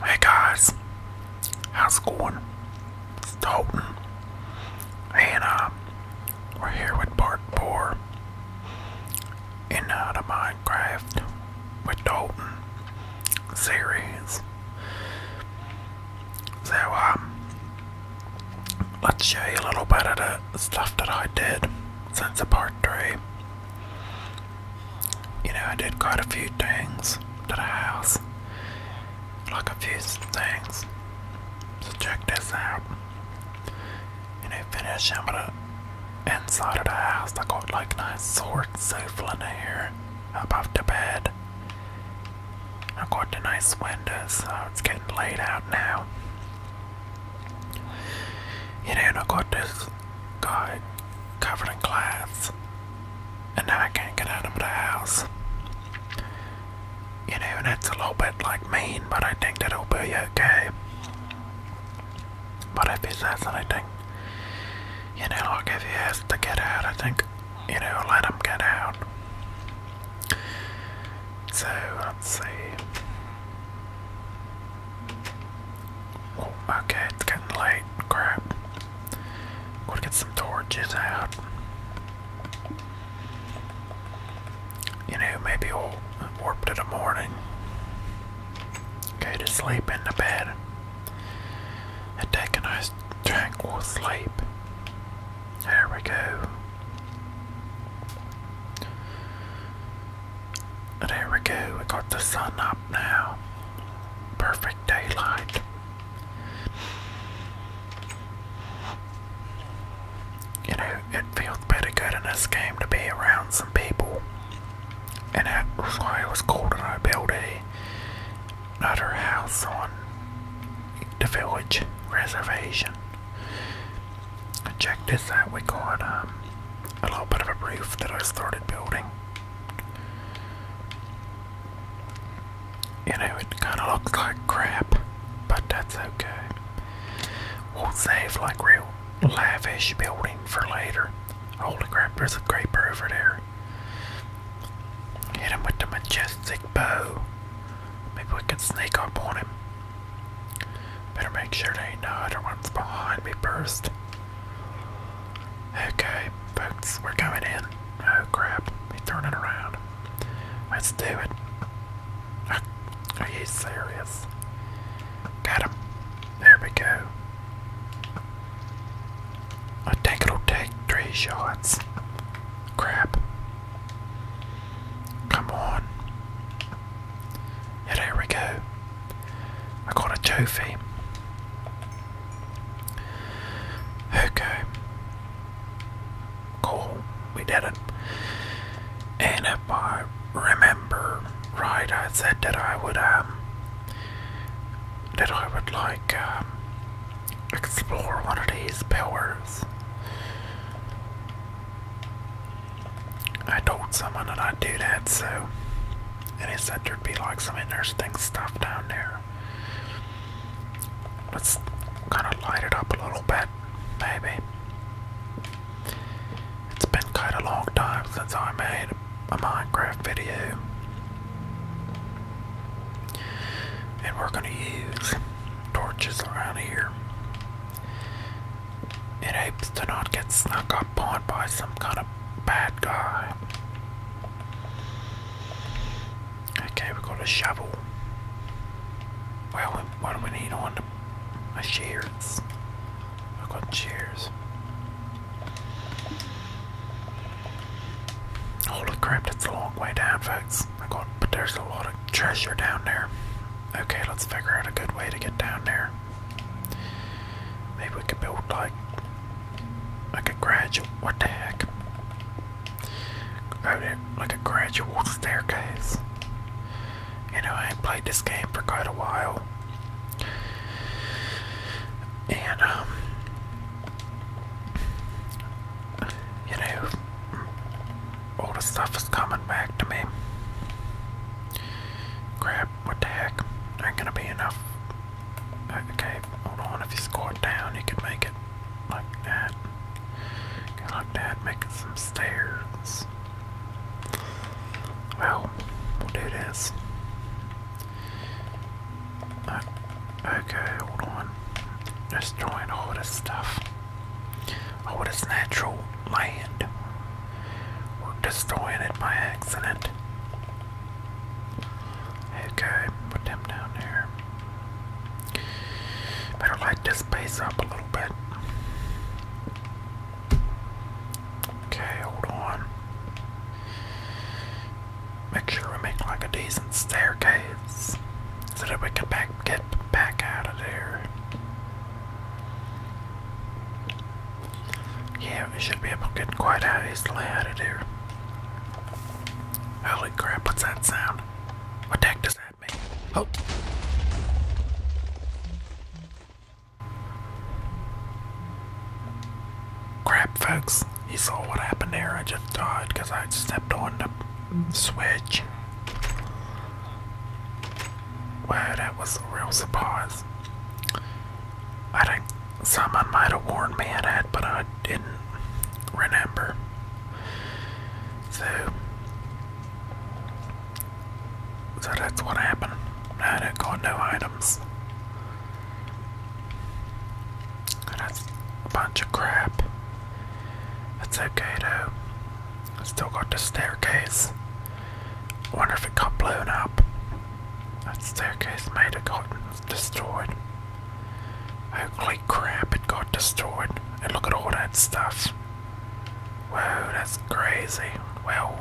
Hey guys, how's it going? It's Dalton, and uh, we're here with part 4 in uh, the Minecraft with Dalton series. So, um, let's show you a little bit of the stuff that I did since the part 3 you know, I did quite a few things to the house. Like a few things. So check this out. You know, finishing with the inside of the house. I got like a nice sword sofa in here off the bed. I got the nice windows, it's getting laid out now. You know, I got this got covered in glass, and now I can't get out of the house. You know, that's a little bit like mean, but I think that'll be okay. But if he says anything, you know, I'll give you a has to get out, I think, you know, let him get out. So, let's see okay, it's getting late. Crap. Gotta get some torches out. You know, maybe we'll warp to the morning. Okay, to sleep in the bed. And take a nice tranquil sleep. There we go. There we go, we got the sun up now. Perfect daylight. You know, it feels pretty good in this game to be around some people. And that why it was cool that I built a, another house on the village reservation. Check this out, we got um, a little bit of a roof that I started building. You know, it kind of looks like crap, but that's okay. We'll save like real lavish building for later. Holy crap, there's a creeper over there. Hit him with the majestic bow. Maybe we can sneak up on him. Better make sure there ain't no other ones behind me first. Okay, folks, we're going in. Oh crap, he's turning around. Let's do it. Ah, are you serious? Got him. There we go. I think it'll take three shots. Crap. Come on. Yet here we go. I got a trophy. Okay. Cool. We did it. And if I remember right, I said that I would um, that I would like um, explore one of these powers. I told someone that I'd do that, so. And he said there'd be like some interesting stuff down there. Let's kind of light it up a little bit, maybe. It's been quite a long time since I made a Minecraft video. And we're gonna use torches around here. It hopes to not get snuck up on by some kind of bad guy. Okay, we've got a shovel. Well, what do we need on a shears? I've got shears. Holy crap, that's a long way down, folks. I got, but there's a lot of treasure down there. Okay, let's figure out a good way to get down there. Maybe we could build like like a gradual what the heck? Oh, like a gradual staircase. You know, I ain't played this game for quite a while. And um, you know all the stuff is coming back to me. Grab what the heck? Ain't gonna be enough. Uh, okay, hold on. If you squat down, you can make it like that. Go like making some stairs. Well, we'll do this. Uh, okay, hold on. Destroying all this stuff. All this natural land. We're destroying it by accident. Okay, put them down there. Better light this space up a little bit. Okay, hold on. Make sure we make like a decent staircase so that we can back, get back out of there. Yeah, we should be able to get quite easily out of here. Holy crap, what's that sound? What the heck does that mean? Oh! Crap, folks. You saw what happened there. I just died because I stepped on the switch. Wow, that was a real surprise. I think someone might have warned me of that, but I didn't remember. So, so that's what happened. I don't got no items. That's a bunch of crap. That's okay though. Still got the staircase. Wonder if it got blown up. That staircase might have got destroyed. Holy crap, it got destroyed. And look at all that stuff. Whoa, that's crazy. Well,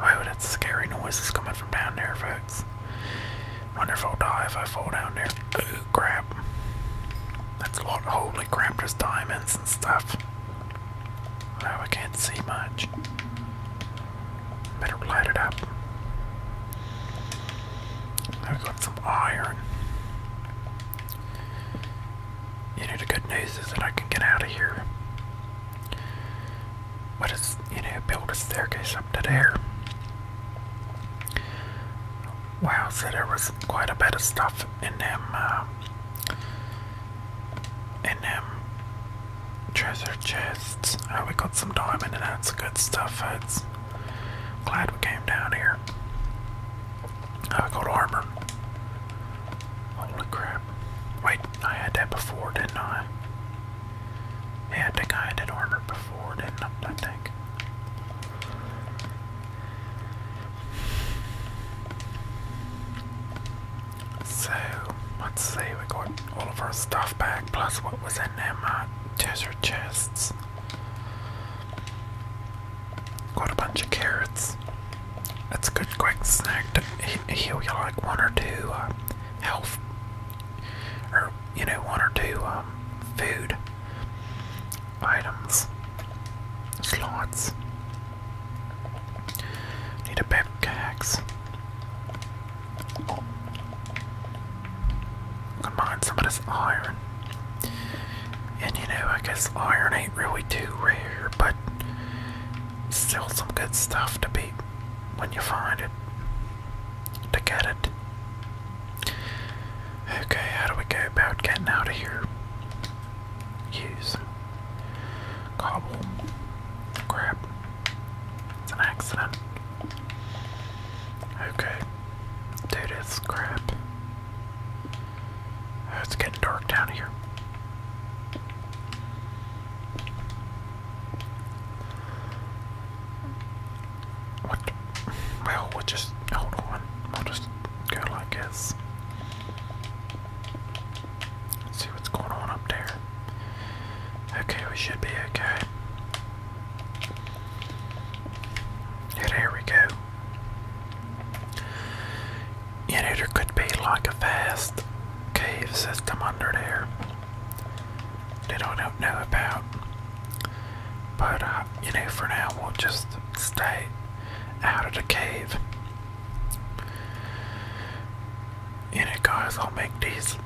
whoa, that's scary Noise is coming from down there, folks. Wonder if I'll die if I fall down there. Oh, crap. That's a lot. Holy crap, there's diamonds and stuff. I can't see much. Better light it up. Now we got some iron. You know, the good news is that I can get out of here. But it's, you know, build a staircase up to there. Wow, so there was quite a bit of stuff in them. Uh, and um, treasure chests. Oh, we got some diamond and that's good stuff, folks. Glad we came down here. Oh got armor. Holy crap. Wait, I had that before, didn't I? Yeah, I think I armor before, didn't I? I think. So, let's see, we got all of our stuff back, plus what was in them uh, treasure chests. Got a bunch of carrots. That's a good quick snack to he heal you like one or two uh, health, or you know, one or two um, food items, slots. Need a pickaxe. Combine some of this iron. And you know, I guess iron ain't really too rare, but still some good stuff to be when you find it. To get it. Okay, how do we go about getting out of here? use. Cobble. Crap. It's an accident. Okay. Dude, it's crap. Oh, it's getting dark down here. What? Well, we'll just hold on. We'll just go like this. see what's going on up there. Okay, we should be okay. Yeah, there we go. You know, there could be like a vast cave system under there that don't know about. But, uh, you know, for now we'll just stay out of the cave. And I'll make these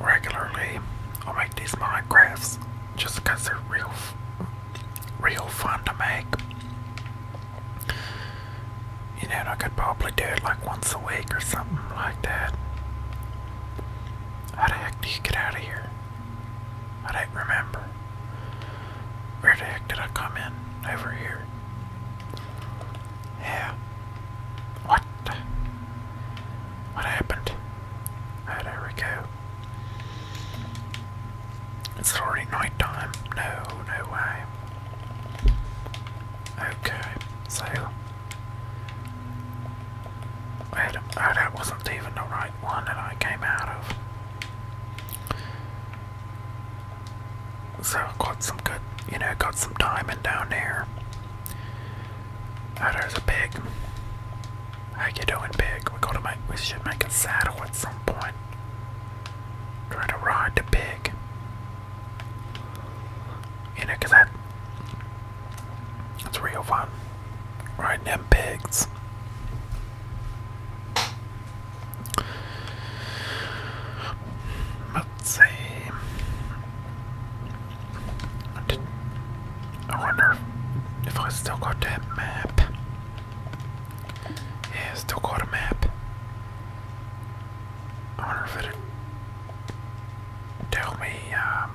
regularly. I'll make these Minecrafts just they're real, real fun to make. You know, I could probably do it like once a week or something like that. How the heck do you get out of here? I don't remember. Where the heck did I come in? Over here. Yeah. What? What happened? there we go. It's already night time. No, no way. Okay, so. oh, that wasn't even the like one that I came out of. So got some good, you know, got some diamond down there. Oh, there's a pig. How you doing, pig? We gotta make, we should make a saddle at some point. Try to ride the pig. You know, that, it's real fun. Riding them pigs. Let's see. I, wonder if I still got that map. Yeah, still got a map. I wonder if it tell me um,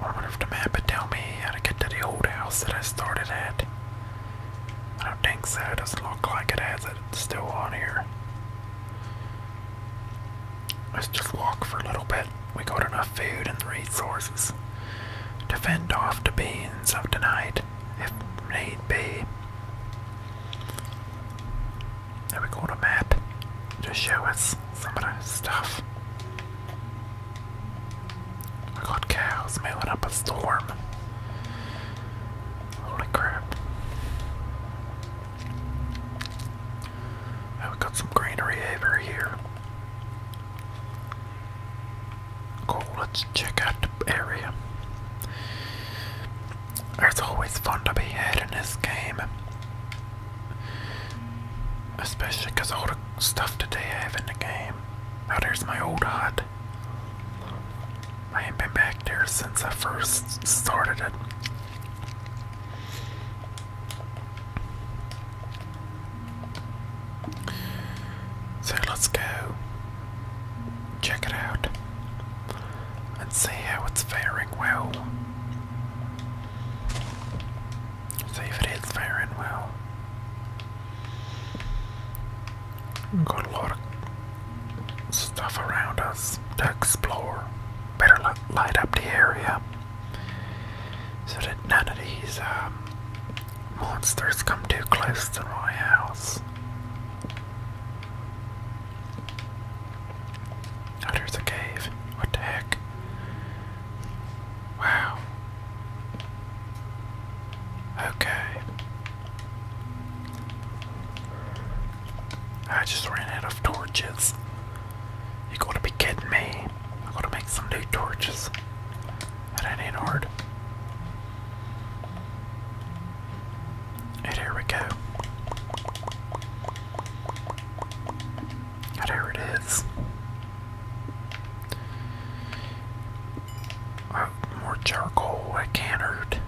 I wonder if the map would tell me how to get to the old house that I started at. I don't think so, it doesn't look like it has it still on here. Let's just walk for a little bit. We got enough food and resources to fend off the beings of the night if need be. There we go, the map to show us some of the stuff. I got cows mailing up a storm. Holy crap. Now oh, we got some greenery over here. Cool, let's check out the area. It's always fun to be had in this game. Especially because all the stuff that they have in the game. Now there's my old hut. I haven't been back there since I first started it. So let's go check it out and see how it's faring well. See if it is firing well. Got a lot of stuff around us to explore. Better light up the area so that none of these um, monsters come too close to my house. Oh, there's a cave. What the heck? Wow. Okay. I just ran out of torches. You gotta be kidding me. I gotta make some new torches. That ain't hard. And here we go. Whatever it is. Oh, more charcoal I cantered.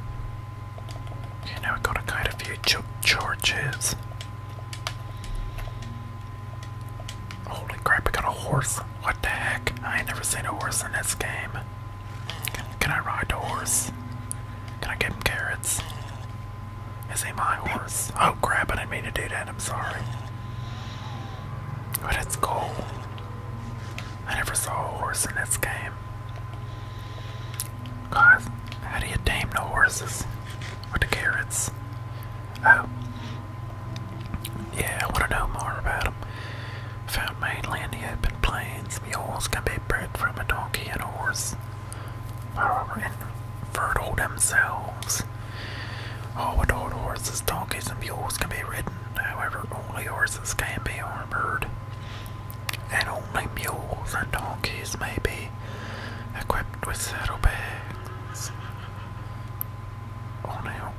Okay, now I got a kind of few ch Holy crap, I got a horse. What the heck? I ain't never seen a horse in this game. Can, I ride a horse? Can I give him carrots? Is he my horse? Oh crap, I didn't mean to do that, I'm sorry. But it's cool. I never saw a horse in this game. Guys, how do you tame the horses? With the carrots? Oh. Yeah, I want to know more about them. Found mainly in the open plains. Mules can be bred from a donkey and a horse and fertile themselves. Oh, all horses, donkeys, and mules can be ridden, however, only horses can be armored, and only mules and donkeys may be equipped with saddlebags. Only oh,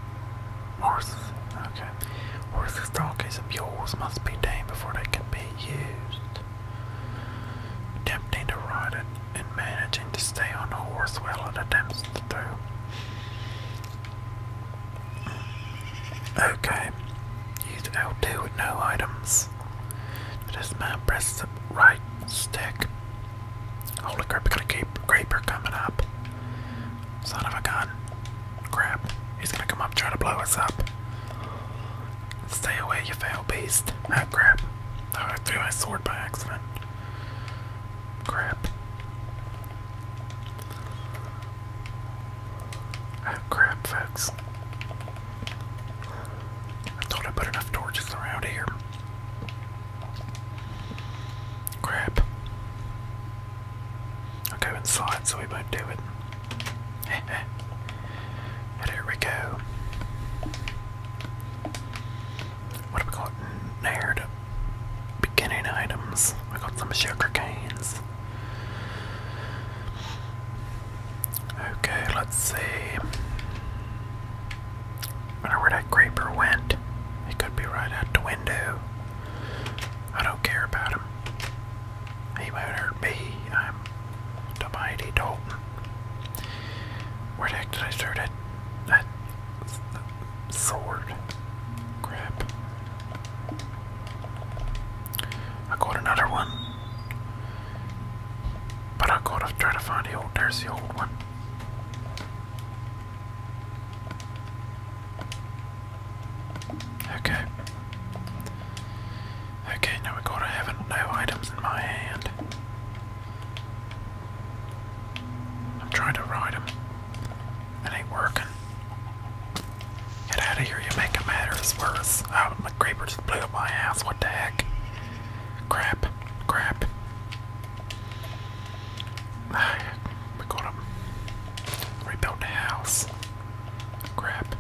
horses, okay. Horses, donkeys, and mules must be tamed before they can be used attempting to ride it and managing to stay on the horse while it attempts to do. Okay, use L2 with no items. This man presses the right stick. Holy crap, we to keep creeper coming up. Son of a gun. Crap, he's gonna come up trying to blow us up. Stay away, you foul beast. Ah, crap. Oh, I threw my sword by accident. Crap. Ah, crap, folks. I thought I put enough torches around here. Crap. I'll go inside so we won't do it there we go. What have we got near beginning items? We got some sugar canes. Okay, let's see. wonder where that creeper went. He could be right out the window. I don't care about him. Hey, my nerd B. I'm the mighty Dalton. Where the heck did I start at? That sword. Grab. I got another one. But I gotta try to find the old, there's the old one. Okay. Okay, now we go to heaven no items in my hand. I'm trying to ride him. It ain't working. Get out of here, you making matters worse. Oh, my creeper just blew up my house. what the heck? Crap, crap. We gotta rebuild the house. Crap.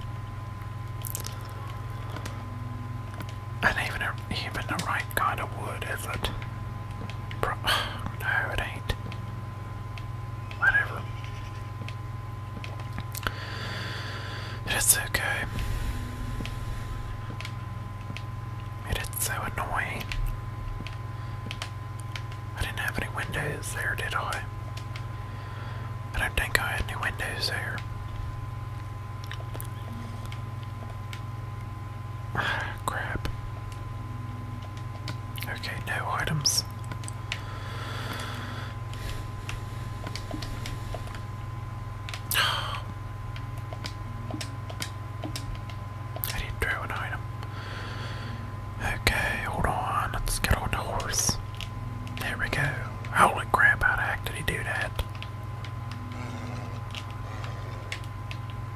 And even even the right kind of wood, is it? no, it ain't. Whatever. It's okay. It is so annoying. I didn't have any windows there, did I? I don't think I had any windows there. crap. Okay, no items. I didn't throw an item. Okay, hold on. Let's get on the horse. There we go. Holy crap, how the heck did he do that?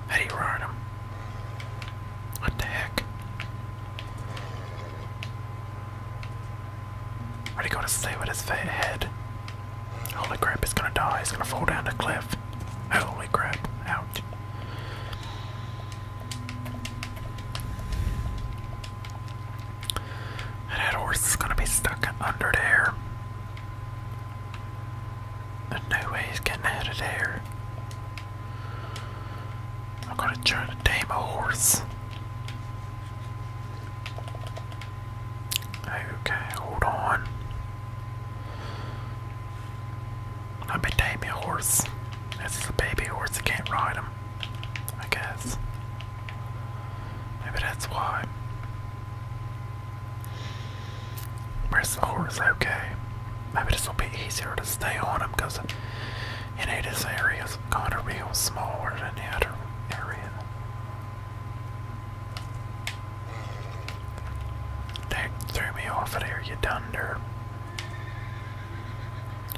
How do you ride him? What the heck? What are you gonna say with his head? Holy crap, he's gonna die, he's gonna fall down the cliff. Holy crap, ouch. And that horse is gonna be stuck under there. There's no way he's getting out of there. I'm gonna try to tame a horse. Okay, hold on. Let me tame a horse. This is a baby horse, I can't ride him. I guess. Maybe that's why. Where's the horse? Okay. Maybe this will be easier to stay on him because, you know, this area is kind of real smaller than the other area. That threw me off of there, you dunder.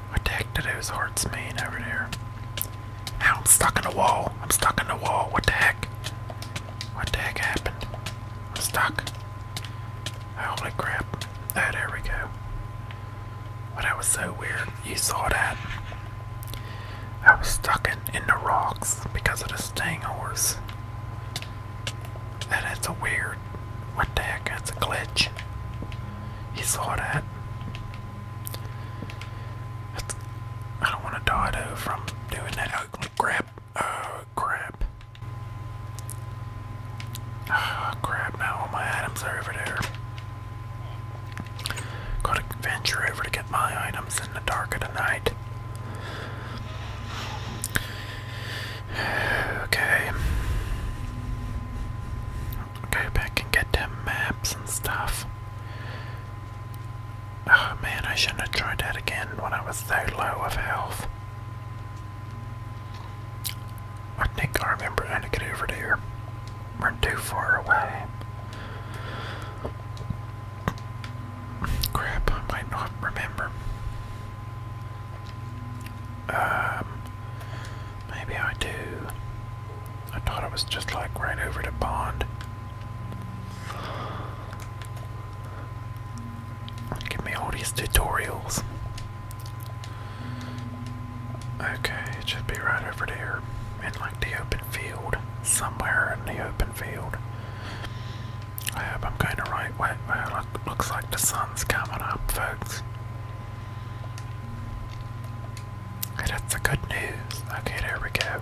What the heck do those hearts mean over there? Ow, I'm stuck in the wall. I'm stuck in the wall. What the heck? What the heck happened? I'm stuck. Holy crap. Oh, there we go. Well, that was so weird. You saw that. I was stuck in, in the rocks because of the staying horse. that's a weird. What the heck? That's a glitch. He saw that. I don't want to die though from doing that. Oh crap! Oh crap! Oh crap! Now all my items are over there. Gotta venture over to get my items in the dark of the night. Okay. Go back and get them maps and stuff. Oh man, I shouldn't have tried that again when I was so low of health. I think I remember how to get over there. We're too far away. Crap, I might not remember. Um, Maybe I do. I thought it was just like right over to Bond. Give me all these tutorials. Okay, it should be right over there in like the open field. Somewhere in the open field. I hope I'm going the right way. Well, looks like the sun's coming up, folks that's the good news. Okay, there we go.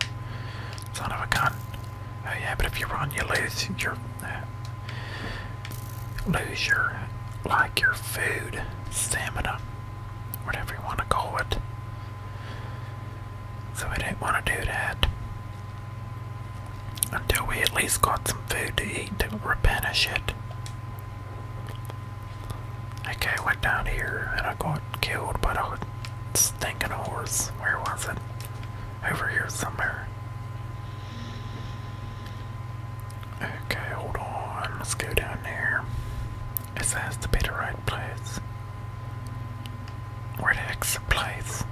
Son of a gun. Oh yeah, but if you run, you lose your uh, lose your like your food stamina, whatever you want to call it. So I didn't want to do that until we at least got some food to eat to replenish it. Okay, I went down here and I got killed by a stinking horse. Where was it? Over here somewhere. Okay, hold on. Let's go down there. This has to be the right place. Where the exit the place?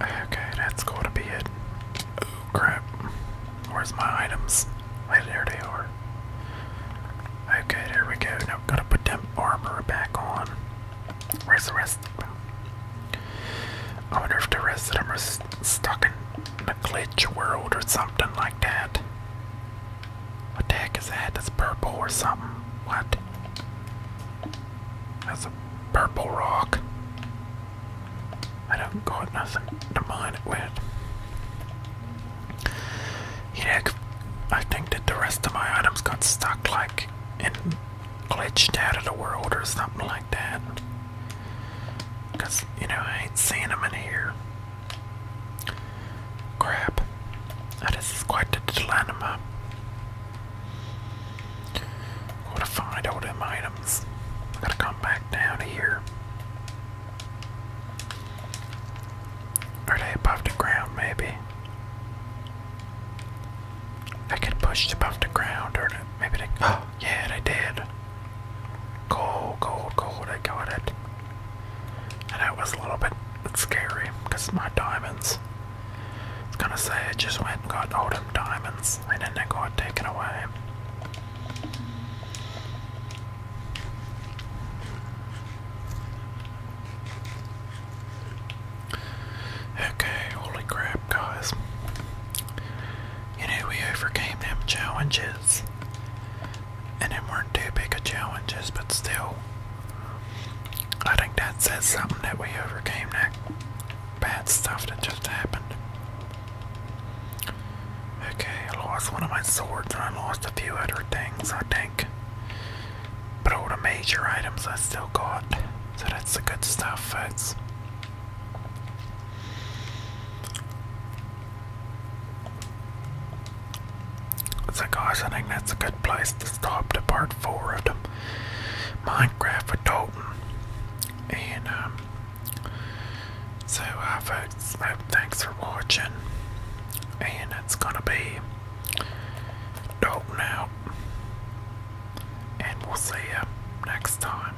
Okay, that's to be it. Oh crap. Where's my items? Hey, there they are. Okay, there we go. Now gotta put them armor back on. Where's the rest of them? I wonder if the rest of them are stuck in the glitch world or something like that. What the heck is that? That's purple or something. What? That's a purple rock. I don't got nothing to mine it with. Yeah, I think that the rest of my items got stuck like and glitched out of the world or something like that. Because, you know, I ain't seeing them in here. Crap. Oh, this is quite a dilemma. Gotta find all them items. gotta come back down here. Are they above the ground, maybe? I get pushed above the ground, or maybe they. Oh, yeah, they did. Cold, cold, cold, I got it. And it was a little bit scary because my diamonds. I was gonna say I just went and got all them diamonds and then they got taken away. Okay, holy crap, guys. You know, we overcame them challenges and it weren't too big of challenges, but still, I think that says something that we overcame that bad stuff that just happened. Okay, I lost one of my swords and I lost a few other things, I think. But all the major items I still got, so that's the good stuff, folks. It's oh, a cautioning that's a good place to stop to part four of them, Minecraft with Dalton. And um, so uh folks uh, thanks for watching and it's gonna be Dalton now. and we'll see you next time.